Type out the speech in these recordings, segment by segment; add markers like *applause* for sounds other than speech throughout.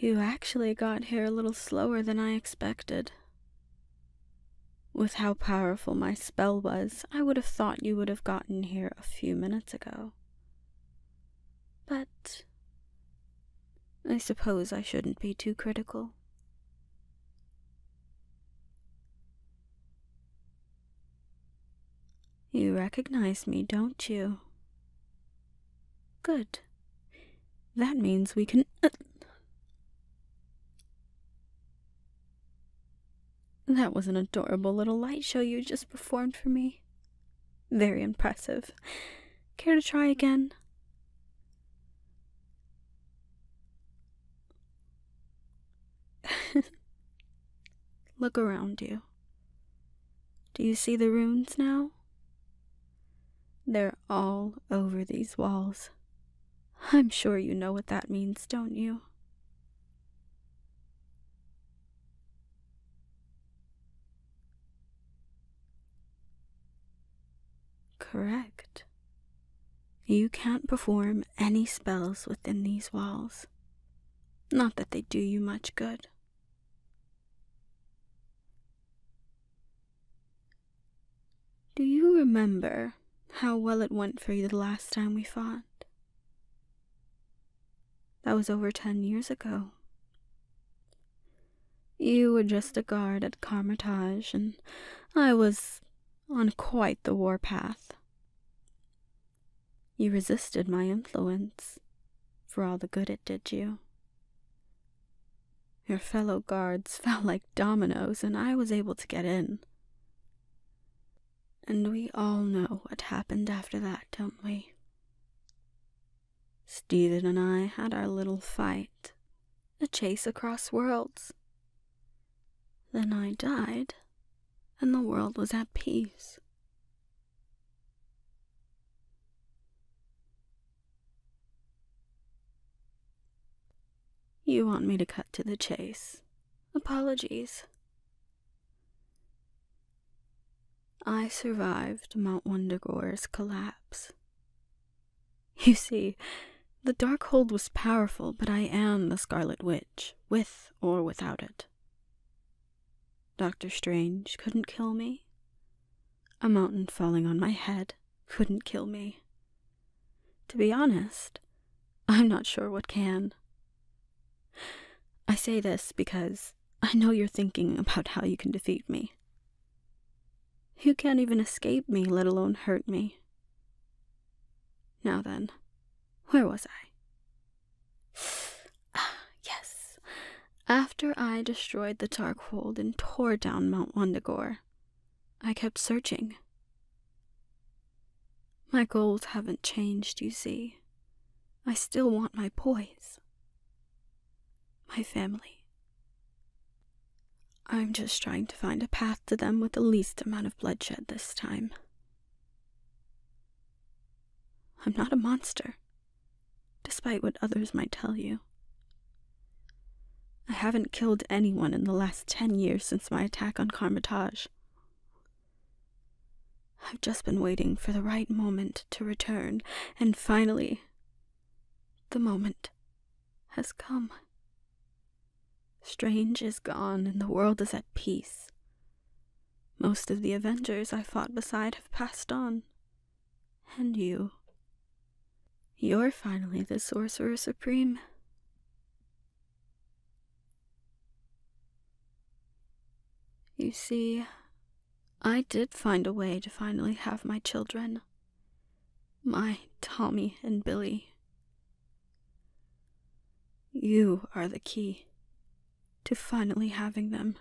You actually got here a little slower than I expected. With how powerful my spell was, I would have thought you would have gotten here a few minutes ago. But I suppose I shouldn't be too critical. You recognize me, don't you? Good. That means we can. Uh, that was an adorable little light show you just performed for me. Very impressive. Care to try again? *laughs* Look around you. Do you see the runes now? They're all over these walls. I'm sure you know what that means, don't you? Correct. You can't perform any spells within these walls. Not that they do you much good, do you remember how well it went for you the last time we fought? That was over ten years ago. You were just a guard at Carmitage, and I was on quite the warpath. You resisted my influence, for all the good it did you. Your fellow guards *laughs* fell like dominoes, and I was able to get in. And we all know what happened after that, don't we? Stephen and I had our little fight, a chase across worlds. Then I died, and the world was at peace. You want me to cut to the chase. Apologies. I survived Mount Wondergore's collapse. You see, the Darkhold was powerful, but I am the Scarlet Witch, with or without it. Doctor Strange couldn't kill me. A mountain falling on my head couldn't kill me. To be honest, I'm not sure what can. I say this because I know you're thinking about how you can defeat me. You can't even escape me, let alone hurt me. Now then, where was I? Ah *sighs* yes, after I destroyed the Darkhold and tore down Mount Wondagore, I kept searching. My goals haven't changed, you see. I still want my poise. My family. I'm just trying to find a path to them with the least amount of bloodshed this time. I'm not a monster despite what others might tell you. I haven't killed anyone in the last ten years since my attack on Carmitage. I've just been waiting for the right moment to return, and finally, the moment has come. Strange is gone, and the world is at peace. Most of the Avengers I fought beside have passed on. And you. You're finally the Sorcerer Supreme. You see, I did find a way to finally have my children. My Tommy and Billy. You are the key to finally having them.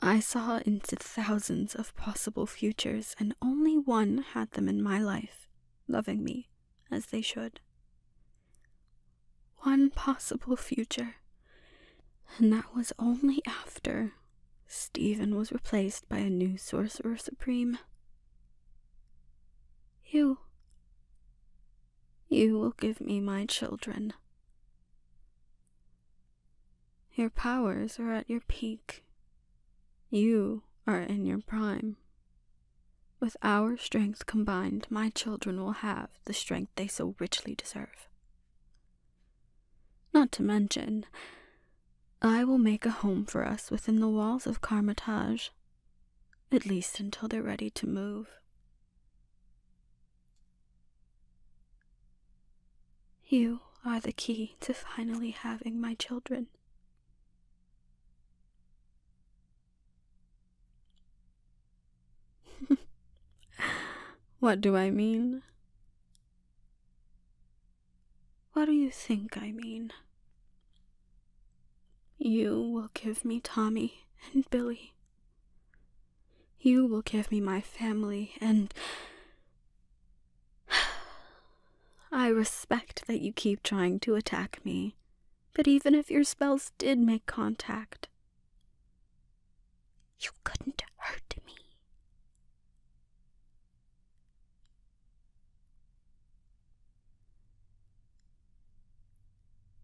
I saw into thousands of possible futures, and only one had them in my life, loving me as they should. One possible future, and that was only after Stephen was replaced by a new Sorcerer Supreme. You. You will give me my children. Your powers are at your peak. You are in your prime. With our strength combined, my children will have the strength they so richly deserve. Not to mention, I will make a home for us within the walls of Carmitage, at least until they're ready to move. You are the key to finally having my children. *laughs* what do I mean? What do you think I mean? You will give me Tommy and Billy. You will give me my family, and *sighs* I respect that you keep trying to attack me. But even if your spells did make contact, you couldn't hurt me.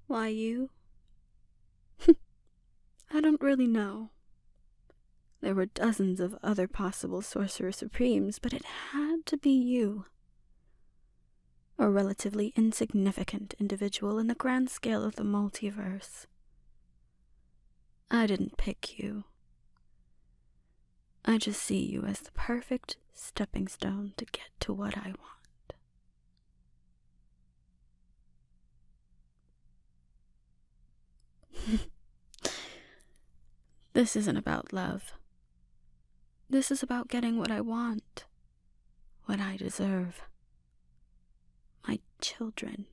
Why you? *laughs* I don't really know. There were dozens of other possible Sorcerer Supremes, but it had to be you. A relatively insignificant individual in the grand scale of the multiverse. I didn't pick you. I just see you as the perfect stepping stone to get to what I want. *laughs* this isn't about love. This is about getting what I want, what I deserve. My children.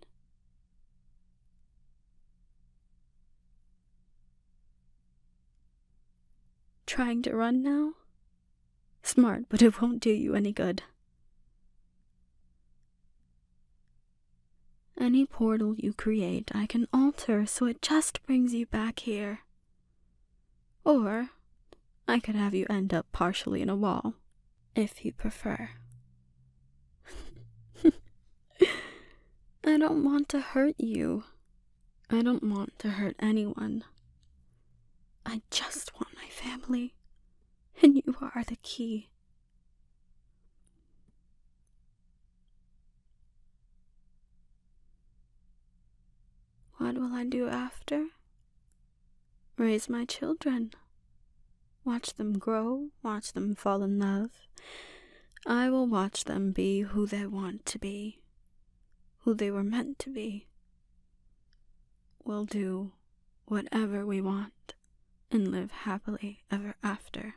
Trying to run now? Smart, but it won't do you any good. Any portal you create, I can alter so it just brings you back here. Or I could have you end up partially in a wall, if you prefer. I don't want to hurt you. I don't want to hurt anyone. I just want my family and you are the key. What will I do after? Raise my children. Watch them grow, watch them fall in love. I will watch them be who they want to be, who they were meant to be we'll do whatever we want and live happily ever after.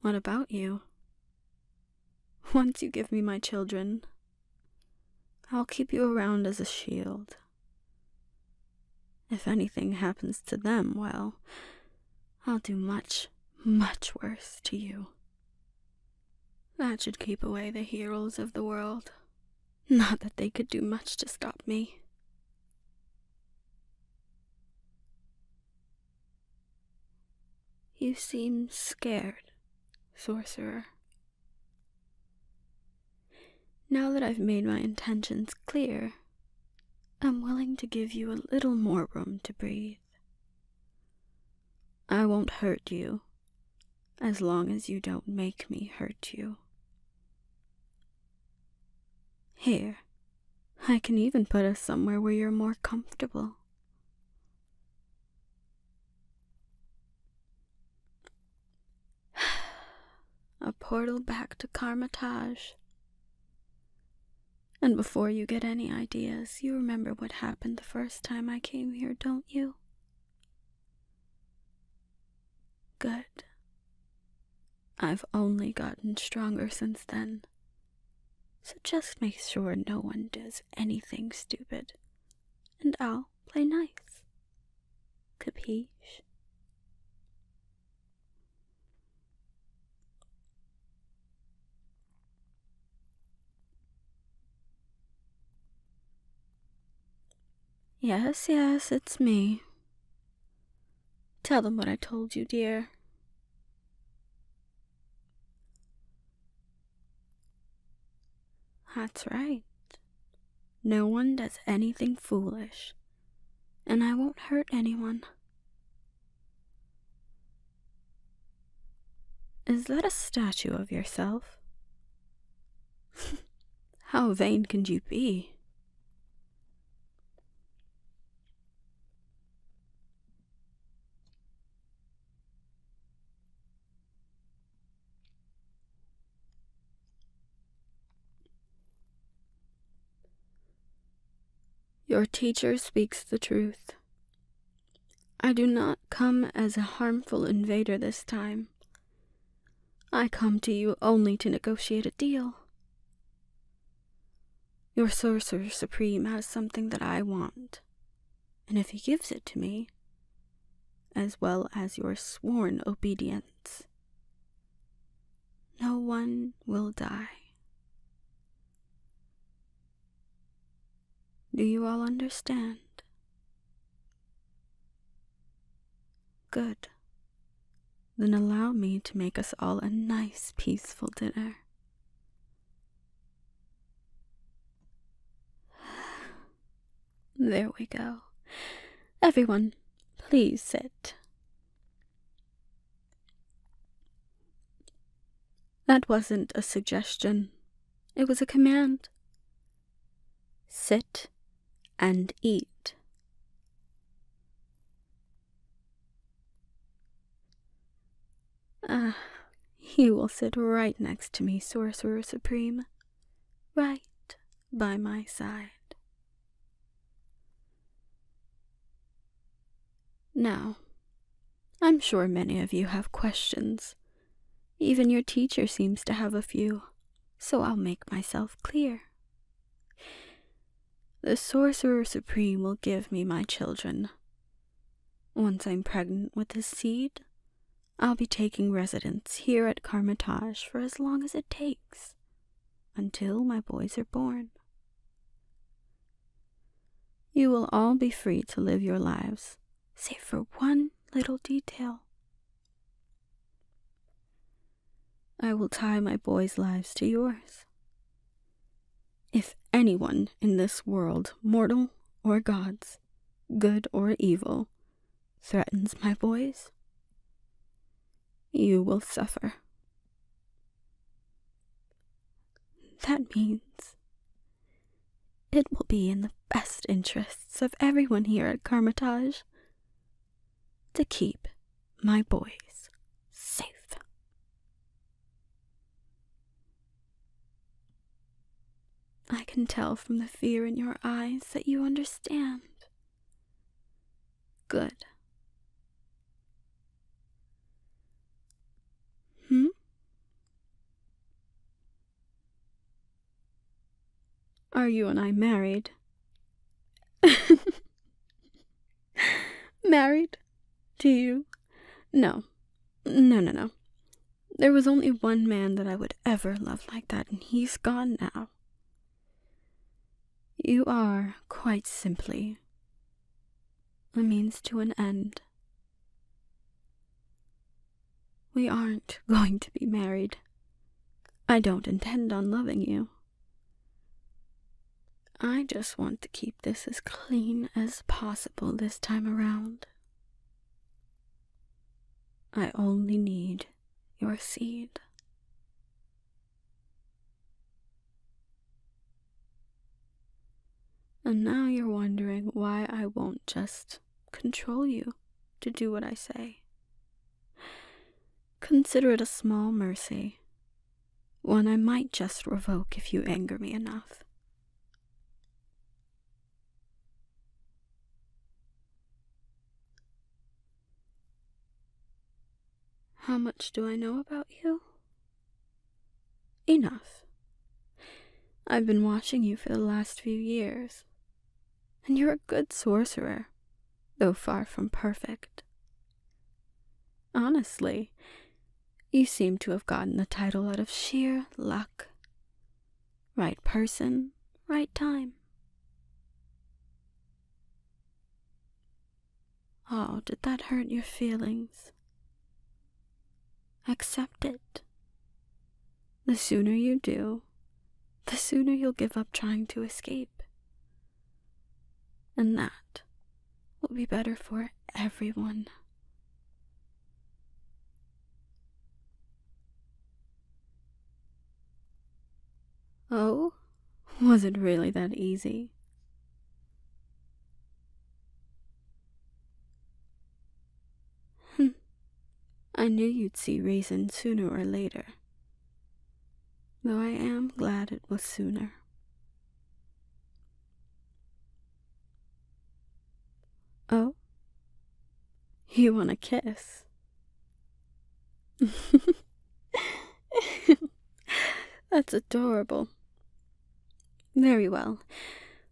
What about you? Once you give me my children, I'll keep you around as a shield. If anything happens to them, well, I'll do much, much worse to you. That should keep away the heroes of the world. Not that they could do much to stop me. You seem scared, sorcerer. Now that I've made my intentions clear, I'm willing to give you a little more room to breathe. I won't hurt you as long as you don't make me hurt you. Here, I can even put us somewhere where you're more comfortable. *sighs* A portal back to Carmitage. And before you get any ideas, you remember what happened the first time I came here, don't you? Good. I've only gotten stronger since then. So just make sure no one does anything stupid, and I'll play nice. Capiche? Yes, yes, it's me. Tell them what I told you, dear. That's right. No one does anything foolish, and I won't hurt anyone. Is that a statue of yourself? *laughs* How vain can you be? Your teacher speaks the truth. I do not come as a harmful invader this time. I come to you only to negotiate a deal. Your Sorcerer Supreme has something that I want, and if he gives it to me, as well as your sworn obedience, no one will die. Do you all understand? Good. Then allow me to make us all a nice, peaceful dinner. There we go. Everyone, please sit. That wasn't a suggestion, it was a command. Sit and eat. Ah, you will sit right next to me, Sorcerer Supreme, right by my side. Now, I'm sure many of you have questions. Even your teacher seems to have a few, so I'll make myself clear. The Sorcerer Supreme will give me my children. Once I'm pregnant with his seed, I'll be taking residence here at Carmitage for as long as it takes, until my boys are born. You will all be free to live your lives, save for one little detail. I will tie my boys' lives to yours. If anyone in this world, mortal or gods, good or evil, threatens my boys, you will suffer. That means it will be in the best interests of everyone here at Carmitage to keep my boys safe. I can tell from the fear in your eyes that you understand. Good. Hmm? Are you and I married? *laughs* married? To you? No. No, no, no. There was only one man that I would ever love like that, and he's gone now. You are, quite simply, a means to an end. We aren't *laughs* going to be married. I don't intend on loving you. I just want to keep this as clean as possible this time around. I only need your seed. And now you're wondering why I won't just control you to do what I say. Consider it a small mercy, one I might just revoke if you anger me enough. How much do I know about you? Enough. I've been watching you for the last few years, and you're a good sorcerer, though far from perfect. Honestly, you seem to have gotten the title out of sheer luck. Right person, right time. Oh, did that hurt your feelings? Accept it. The sooner you do, the sooner you'll give up trying to escape. And that will be better for everyone. Oh, was it really that easy? Hmm. I knew you'd see reason sooner or later. Though I am glad it was sooner. Oh? You want a kiss? *laughs* That's adorable. Very well.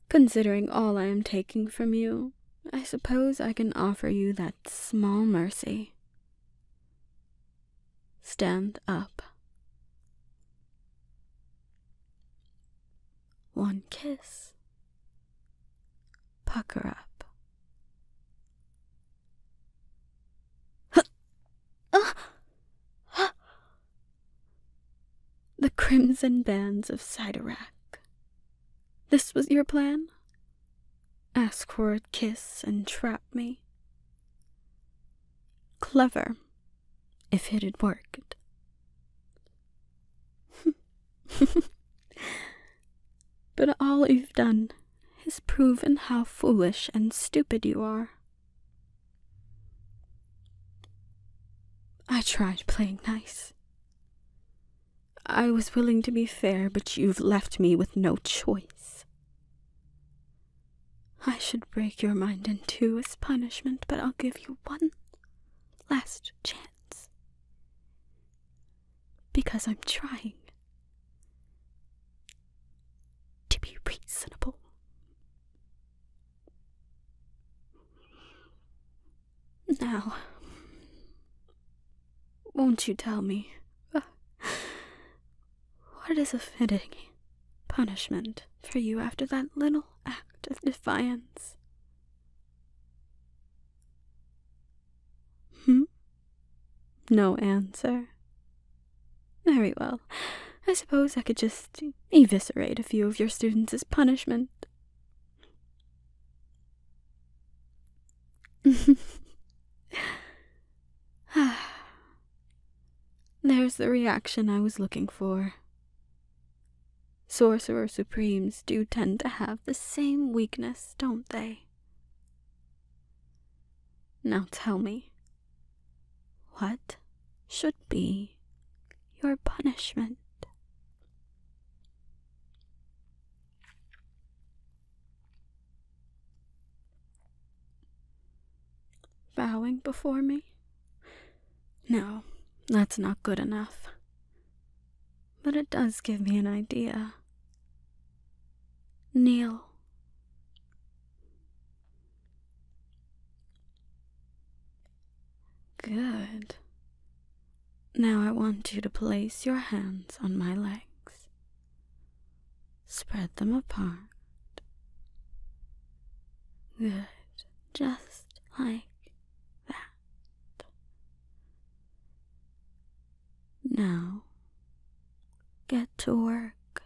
Considering all I am taking from you, I suppose I can offer you that small mercy. Stand up. One kiss. Pucker up. Huh. Uh. Huh. The crimson bands of Sidorak. This was your plan? Ask for a kiss and trap me. Clever, if it had worked. *laughs* but all you've done has proven how foolish and stupid you are. I tried playing nice. I was willing to be fair, but you've left me with no choice. I should break your mind in two as punishment, but I'll give you one last chance. Because I'm trying to be reasonable. Now, won't you tell me uh, what is a fitting punishment for you after that little act of defiance? Hmm? No answer. Very well. I suppose I could just eviscerate a few of your students as punishment. *sighs* There's the reaction I was looking for. Sorcerer Supremes do tend to have the same weakness, don't they? Now tell me, what should be your punishment? Bowing before me? No, that's not good enough. But it does give me an idea. Kneel. Good. Now I want you to place your hands on my legs. Spread them apart. Good. Just like that. Now, get to work.